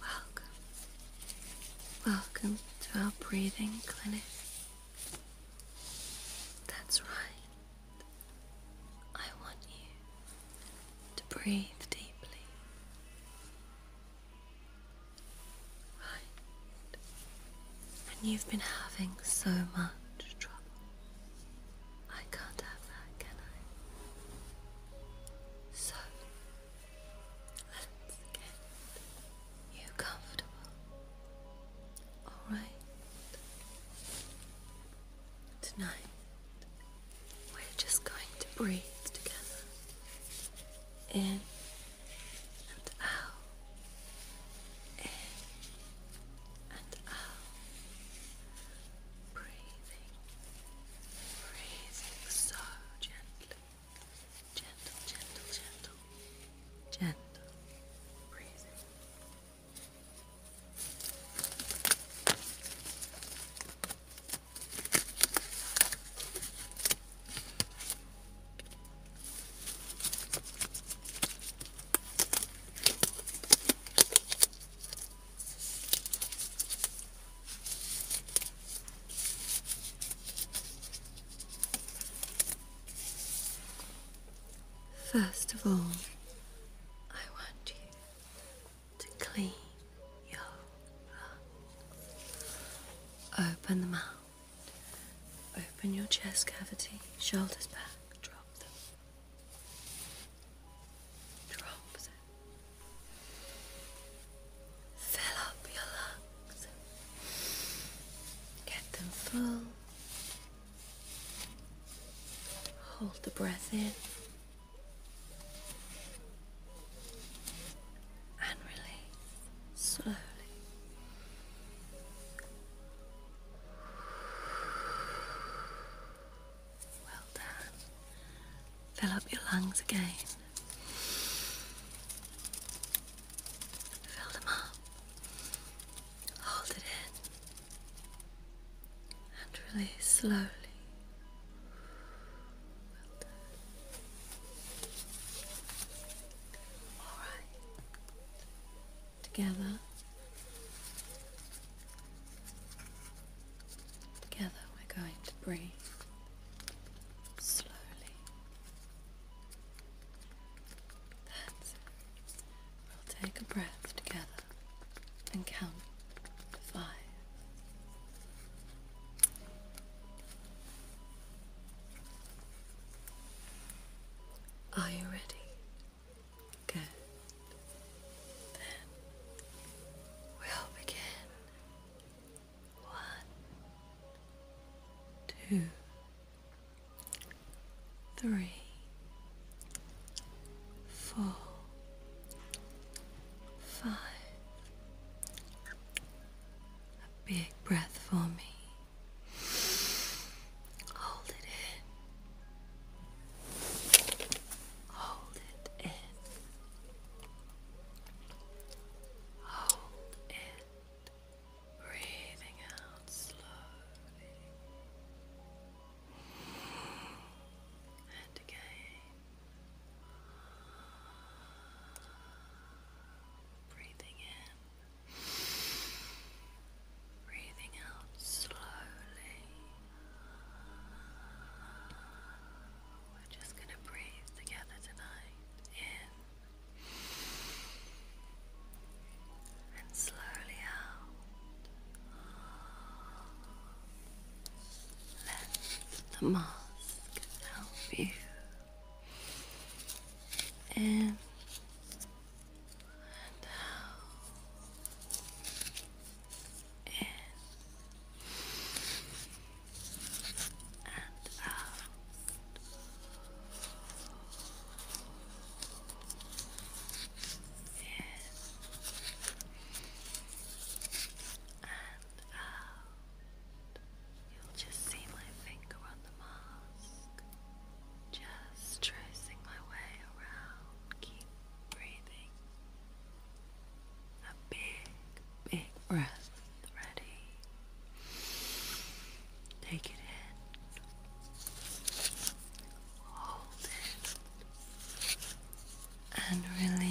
Welcome. Welcome to our breathing clinic. That's right. I want you to breathe deeply. Right. And you've been having so much trouble I can't have that, can I? So, let's get you comfortable. Alright? Tonight, we're just going to breathe together. In and out. In and out. Breathing Breathing so gently. Gentle, gentle, gentle. Gentle breathing. First of all, I want you to clean your lungs. Open them out. Open your chest cavity, shoulders back, drop them drops fill up your lungs, get them full. Hold the breath in and release slowly. Well done. Fill up your lungs again. Fill them up. Hold it in. And release slowly. Well done. All right. Together. Together we're going to breathe slowly. That's We'll take a breath together and count to five. Are you ready? Good. Then we'll begin. One, two, three, four, five. A big breath for me. Hold it in. Hold it in. Hold it. Breathing out slowly. And again. Breathing in. Breathing out slowly. We're just going to breathe together tonight. In and slowly out. Let the mask help you. In and out in and out. In and out. You'll just see my finger on the mask. Just tracing my way around. Keep breathing. A big, big breath. Ready. Take it in. Hold it. And release.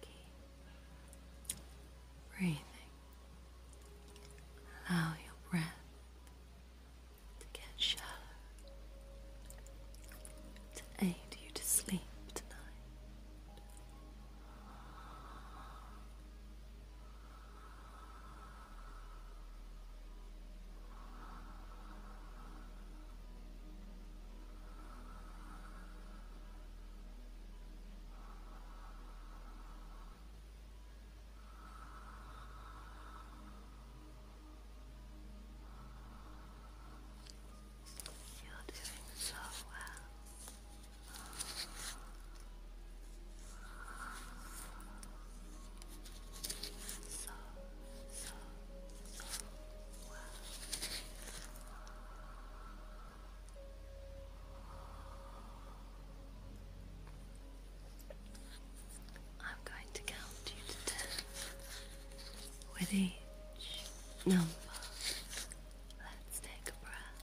Keep breathing. Allow your breath to get shallow to aid you to sleep tonight. You're doing so well so, I'm going to count you to ten with each number. Let's take a breath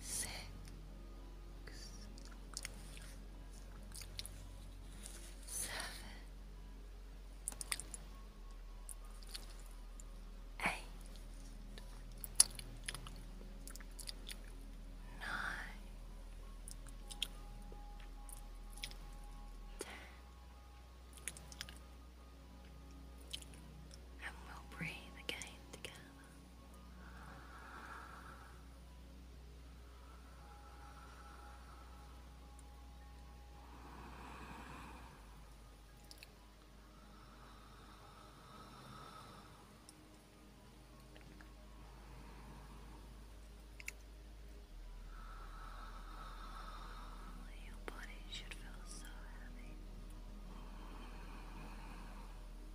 six, seven, eight, nine, ten. And we'll breathe again together. Your body should feel so heavy. Your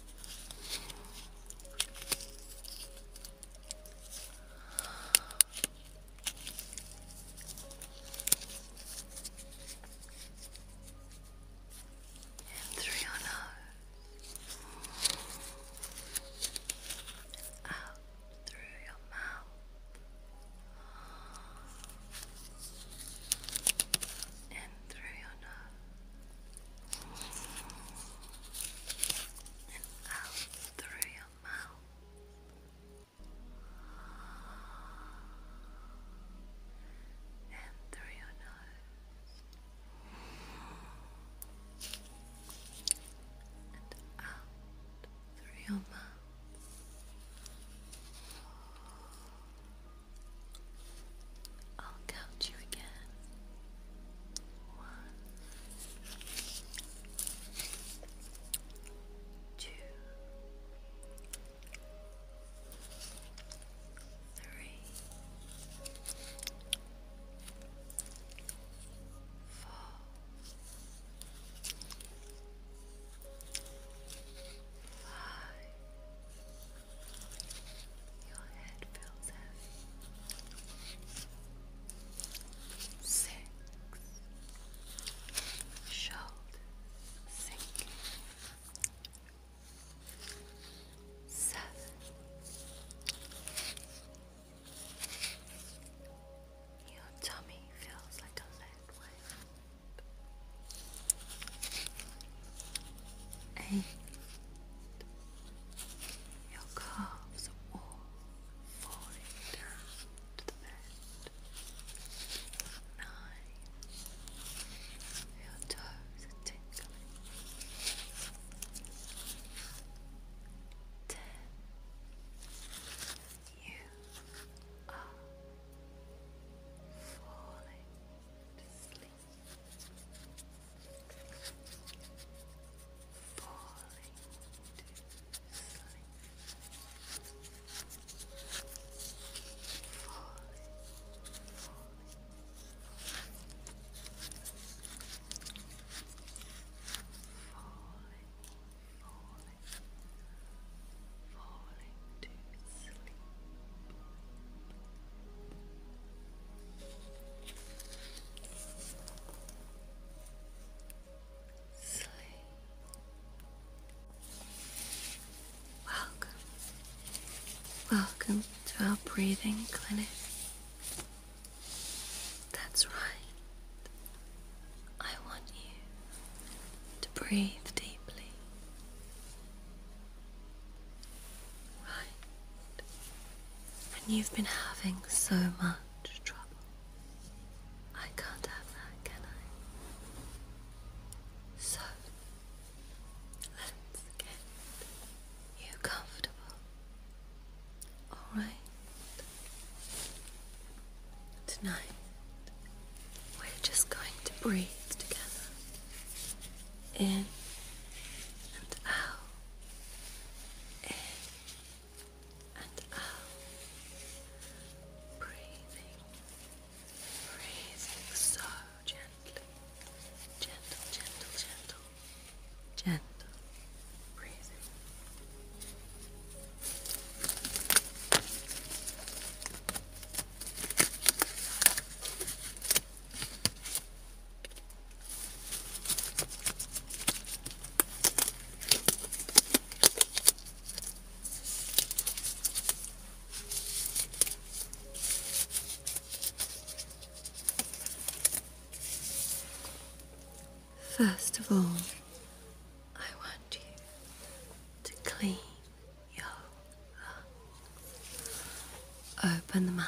And through your nose, out through your mouth, and through your nose and out through your mouth. And through your nose and out through your mouth I'll count you again. One, two, your head Six. Shoulders sinking. Seven. Your tummy feels like a lead weight. Eight. Your calves are warm, falling down to the bed. Nine. Your toes are tingling. Ten. You are falling to falling to Falling falling to sleep, falling falling falling to sleep Sleep. Welcome. Welcome to our breathing clinic. That's right. I want you to breathe deeply Right. And you've been having so much trouble. I can't have that, can I? So, let's get you comfortable. Alright? Tonight, we're just going to breathe together in and out, in and out, breathing, breathing so gently, gentle, gentle, gentle, gentle breathing. First of all, I want you to clean your Open the mouth.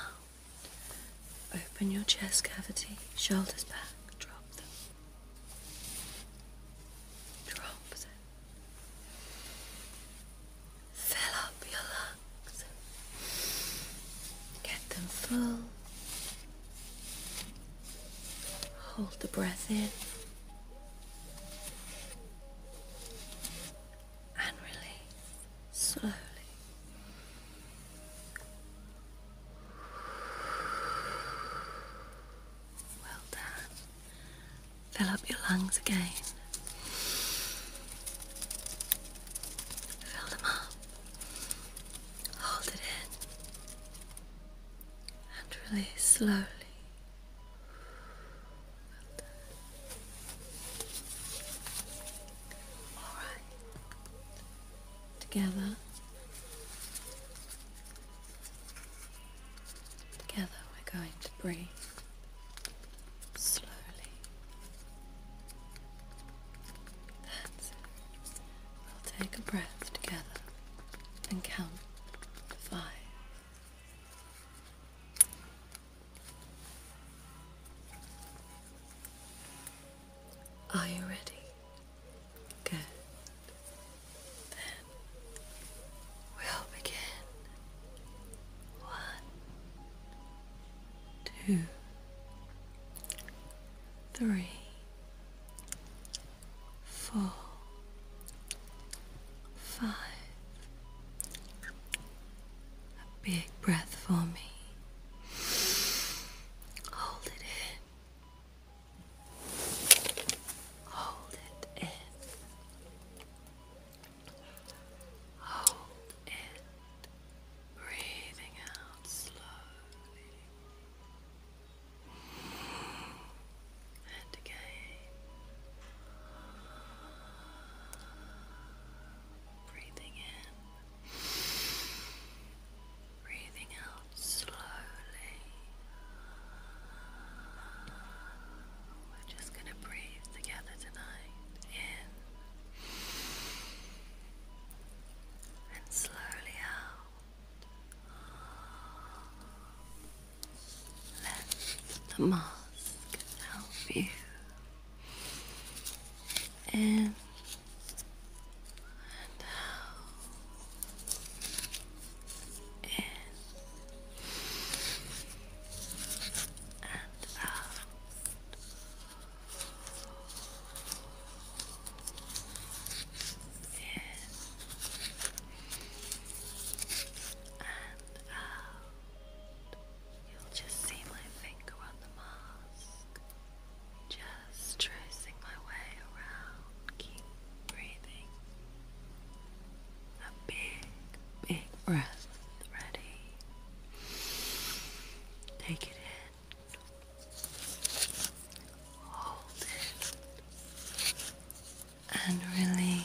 Open your chest cavity, shoulders back, drop them. Drop them. Fill up your lungs. Get them full. Hold the breath in and release slowly. Well done. Fill up your lungs again. Fill them up. Hold it in. And release slowly. All right. Together. Together we're going to breathe slowly. That's We'll take a breath together and count to five. Are you ready? Good. Then we'll begin. One, two, three, four, five, a big breath for me. Hold it in. Hold it in. Hold it. Breathing out slowly. And again. Breathing in, breathing out slowly. We're just going to breathe together tonight. In and slowly out. Let the mask help you. In and out. In and out. In and out. You'll just see my finger on the mask, just tracing my way around. Keep breathing. A big, big breath. Ready? Take it in. Hold it. And release.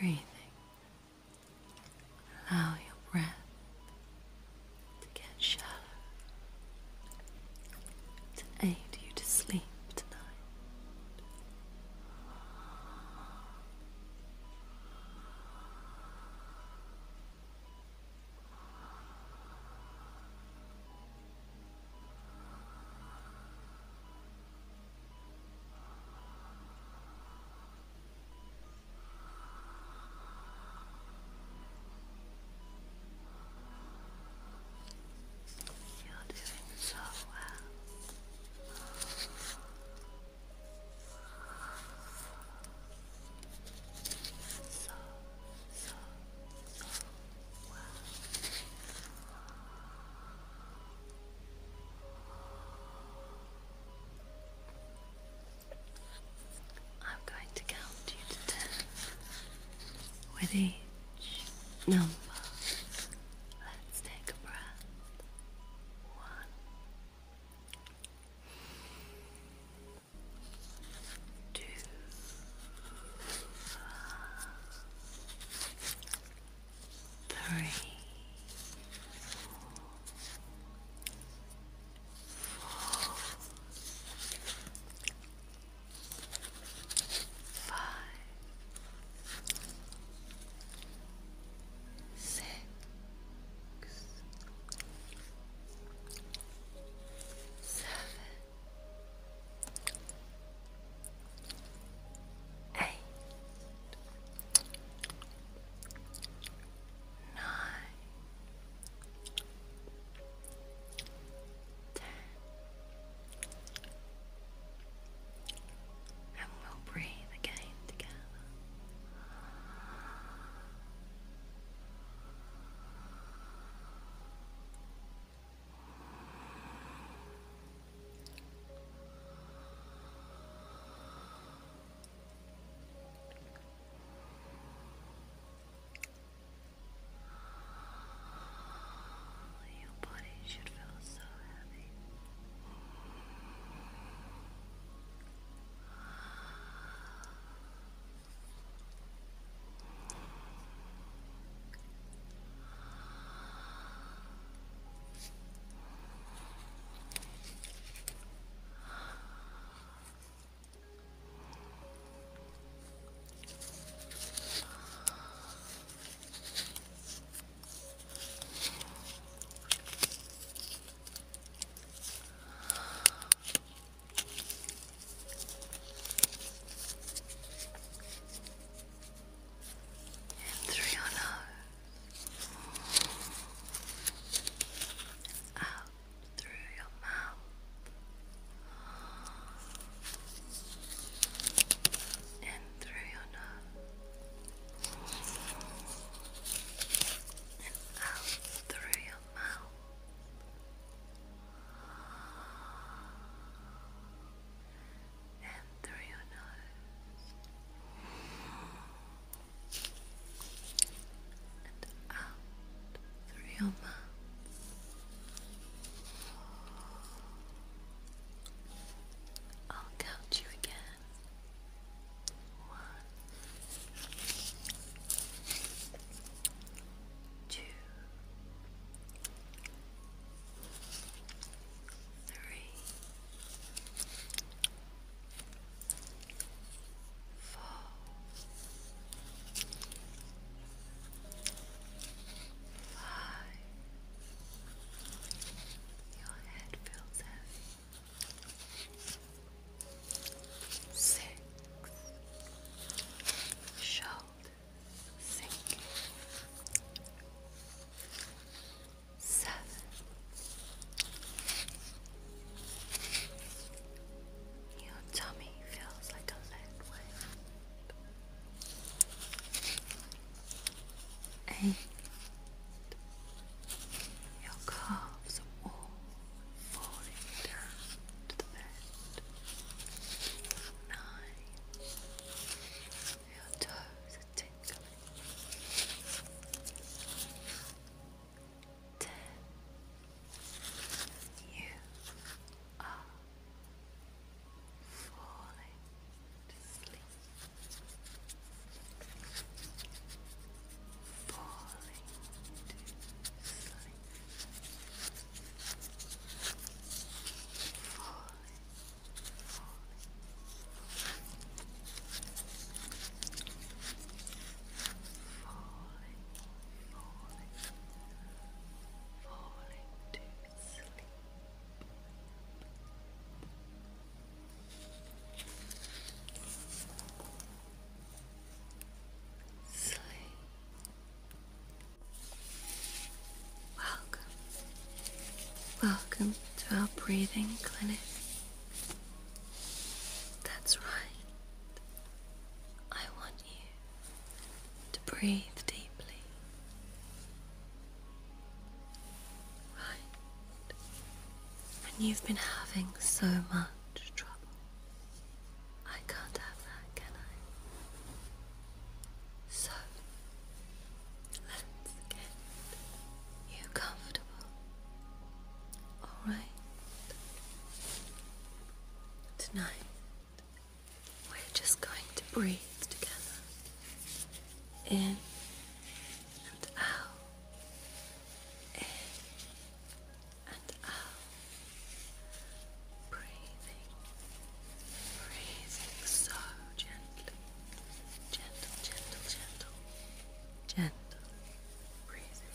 Breathing. Allow your breath to get shallow, to aid you to sleep tonight. You're doing so well. So, so, so well. I'm going to count you to ten. With each number, let's take a breath. One five, six, seven, eight, nine ten, and we'll breathe again together. Your body should feel so heavy. Your and through your nose, out through your mouth and through your nose and out through your mouth. And through your nose, and out through your mouth. I'll count you again. One, two, three, five. Your head feels heavy. Six. Shoulders sinking. Seven. Your tummy feels like a lead weight, and your calves are all falling down to the bed. Nine, your toes are tingling ten. You are falling to Falling to Falling, falling falling, falling, falling to sleep. Sleep. Welcome. Welcome to our breathing clinic. That's right. I want you to breathe deeply. Right. And you've been having so much trouble. I can't have that, can I? So, let's get you comfortable. All right. Tonight, we're just going to breathe together in and out, in and out, breathing, breathing so gently, gentle, gentle, gentle, gentle breathing.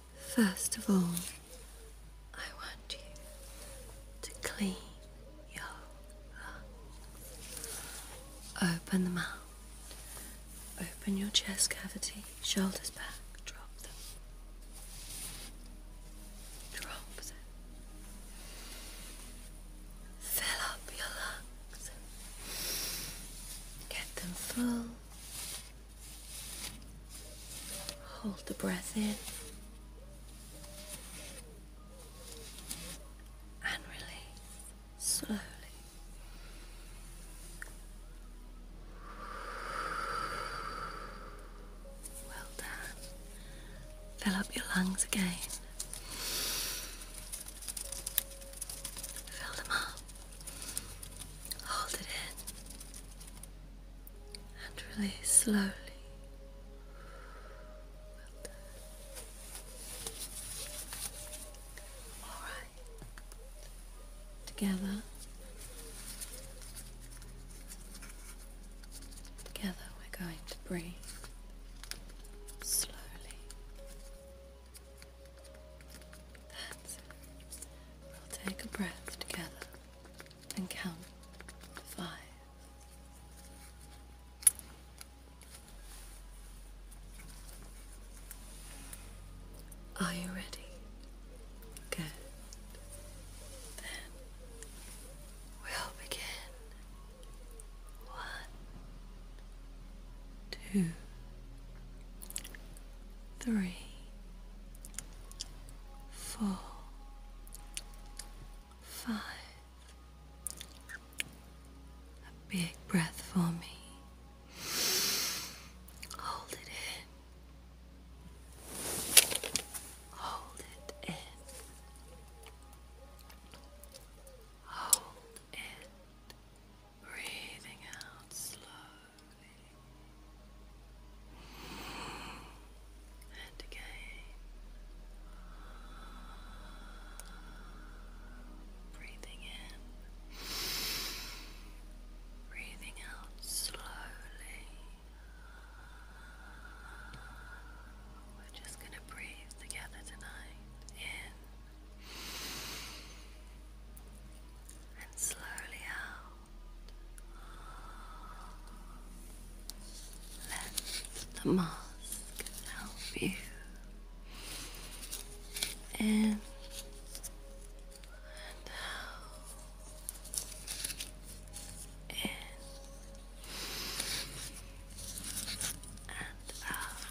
First of all, I want you to clean your lungs. Open them out. Open your chest cavity, shoulders back, drop them. Drop them. Fill up your lungs. Get them full Hold the breath in and release slowly. Well done. Fill up your lungs again. Fill them up. Hold it in and release slowly. All right, together, together, we're going to breathe slowly. We'll take a breath together and count to five. Are you ready? Good. Then we'll begin. One, two, three, four, five. A big breath for me. Hold it in. Hold it in. Hold it. Breathing out slow. And again. Breathing in. Breathing out slowly. We're just going to breathe together tonight. In and slowly out. Let the mask help you in and out, in and out.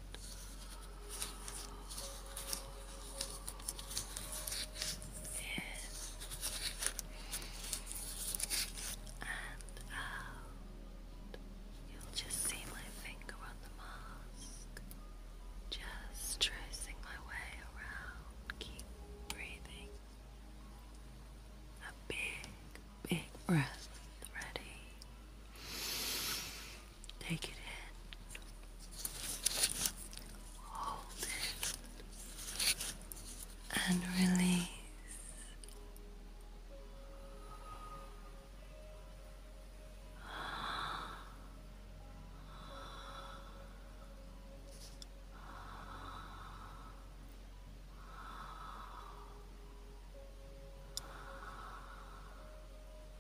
In and out. Uh, You'll just see my finger on the mask. Just tracing my way around. Keep breathing. A big, big breath. Ready. Take it in. Hold it. And release.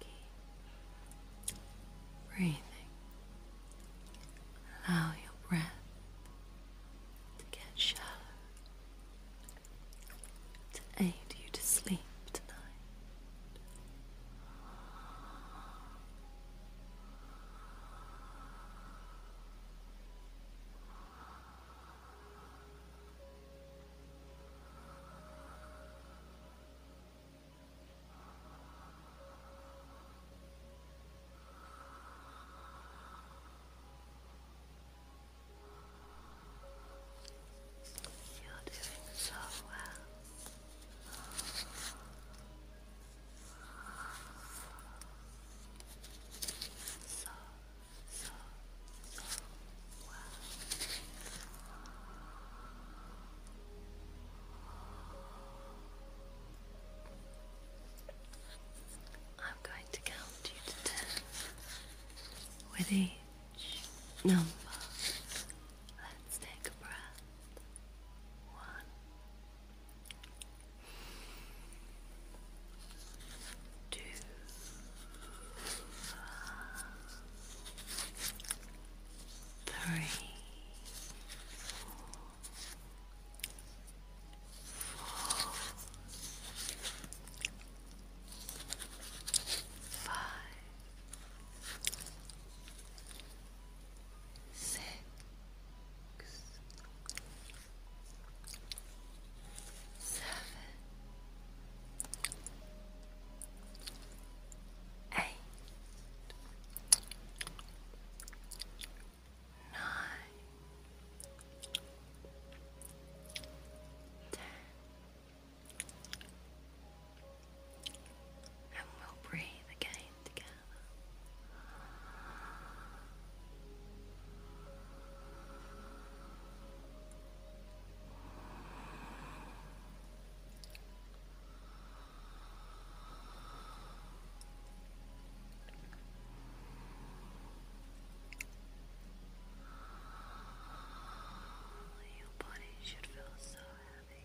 Keep breathing. Allow your breath to get shallow to aid you to sleep tonight. You're doing so well. So, so, so. I'm going to count you to ten with each number. Let's take a breath. One. Two, three, four, five, six. Seven, eight, nine, ten, and we'll breathe again together. Oh, your body should feel so heavy.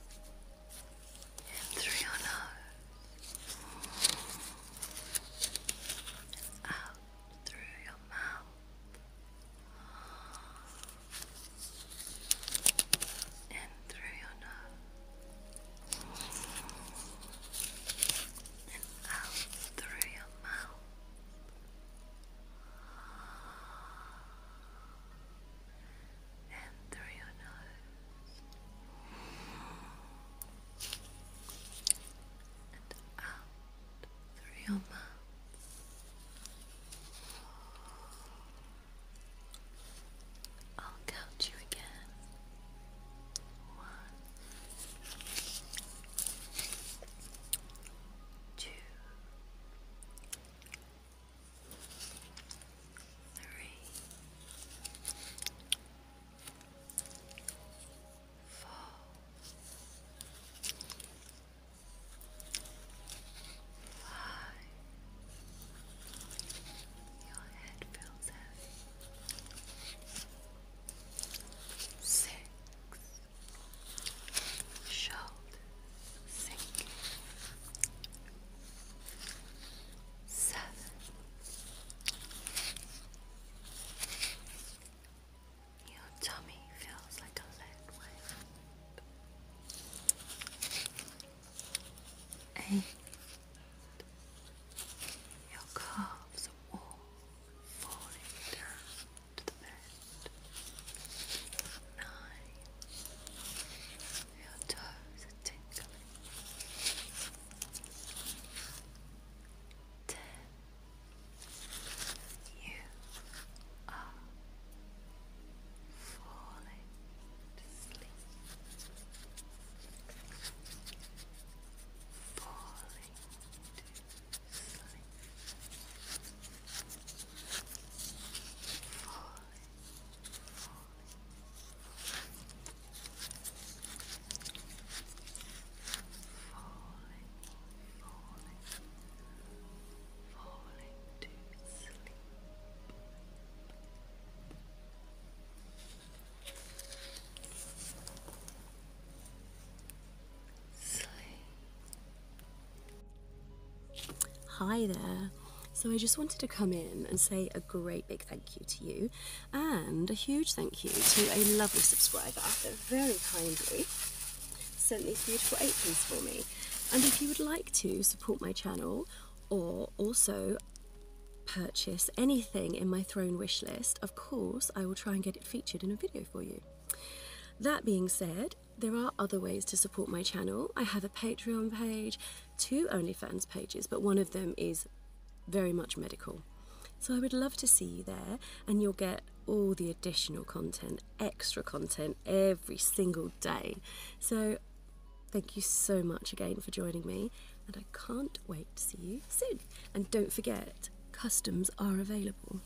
and through your nose, out through your mouth, and through your nose, and out through your mouth and through your nose and out through your mouth. I'll count you again. One, two, three, four, five. Your head feels heavy. Six shoulders sinking. Seven. Your tummy feels like a lead weight. Eight. Your calves are all falling down to Nine. Your toes are tingling. Ten. You are falling to Falling to falling, falling, falling, falling to sleep. Hi there. So I just wanted to come in and say a great big thank you to you and a huge thank you to a lovely subscriber that very kindly sent these beautiful aprons for me. And if you would like to support my channel or also purchase anything in my throne wish list, of course I will try and get it featured in a video for you. That being said, there are other ways to support my channel. I have a Patreon page, two OnlyFans pages, but one of them is very much medical. So I would love to see you there, and you'll get all the additional content, extra content every single day. So thank you so much again for joining me, and I can't wait to see you soon. And don't forget, customs are available.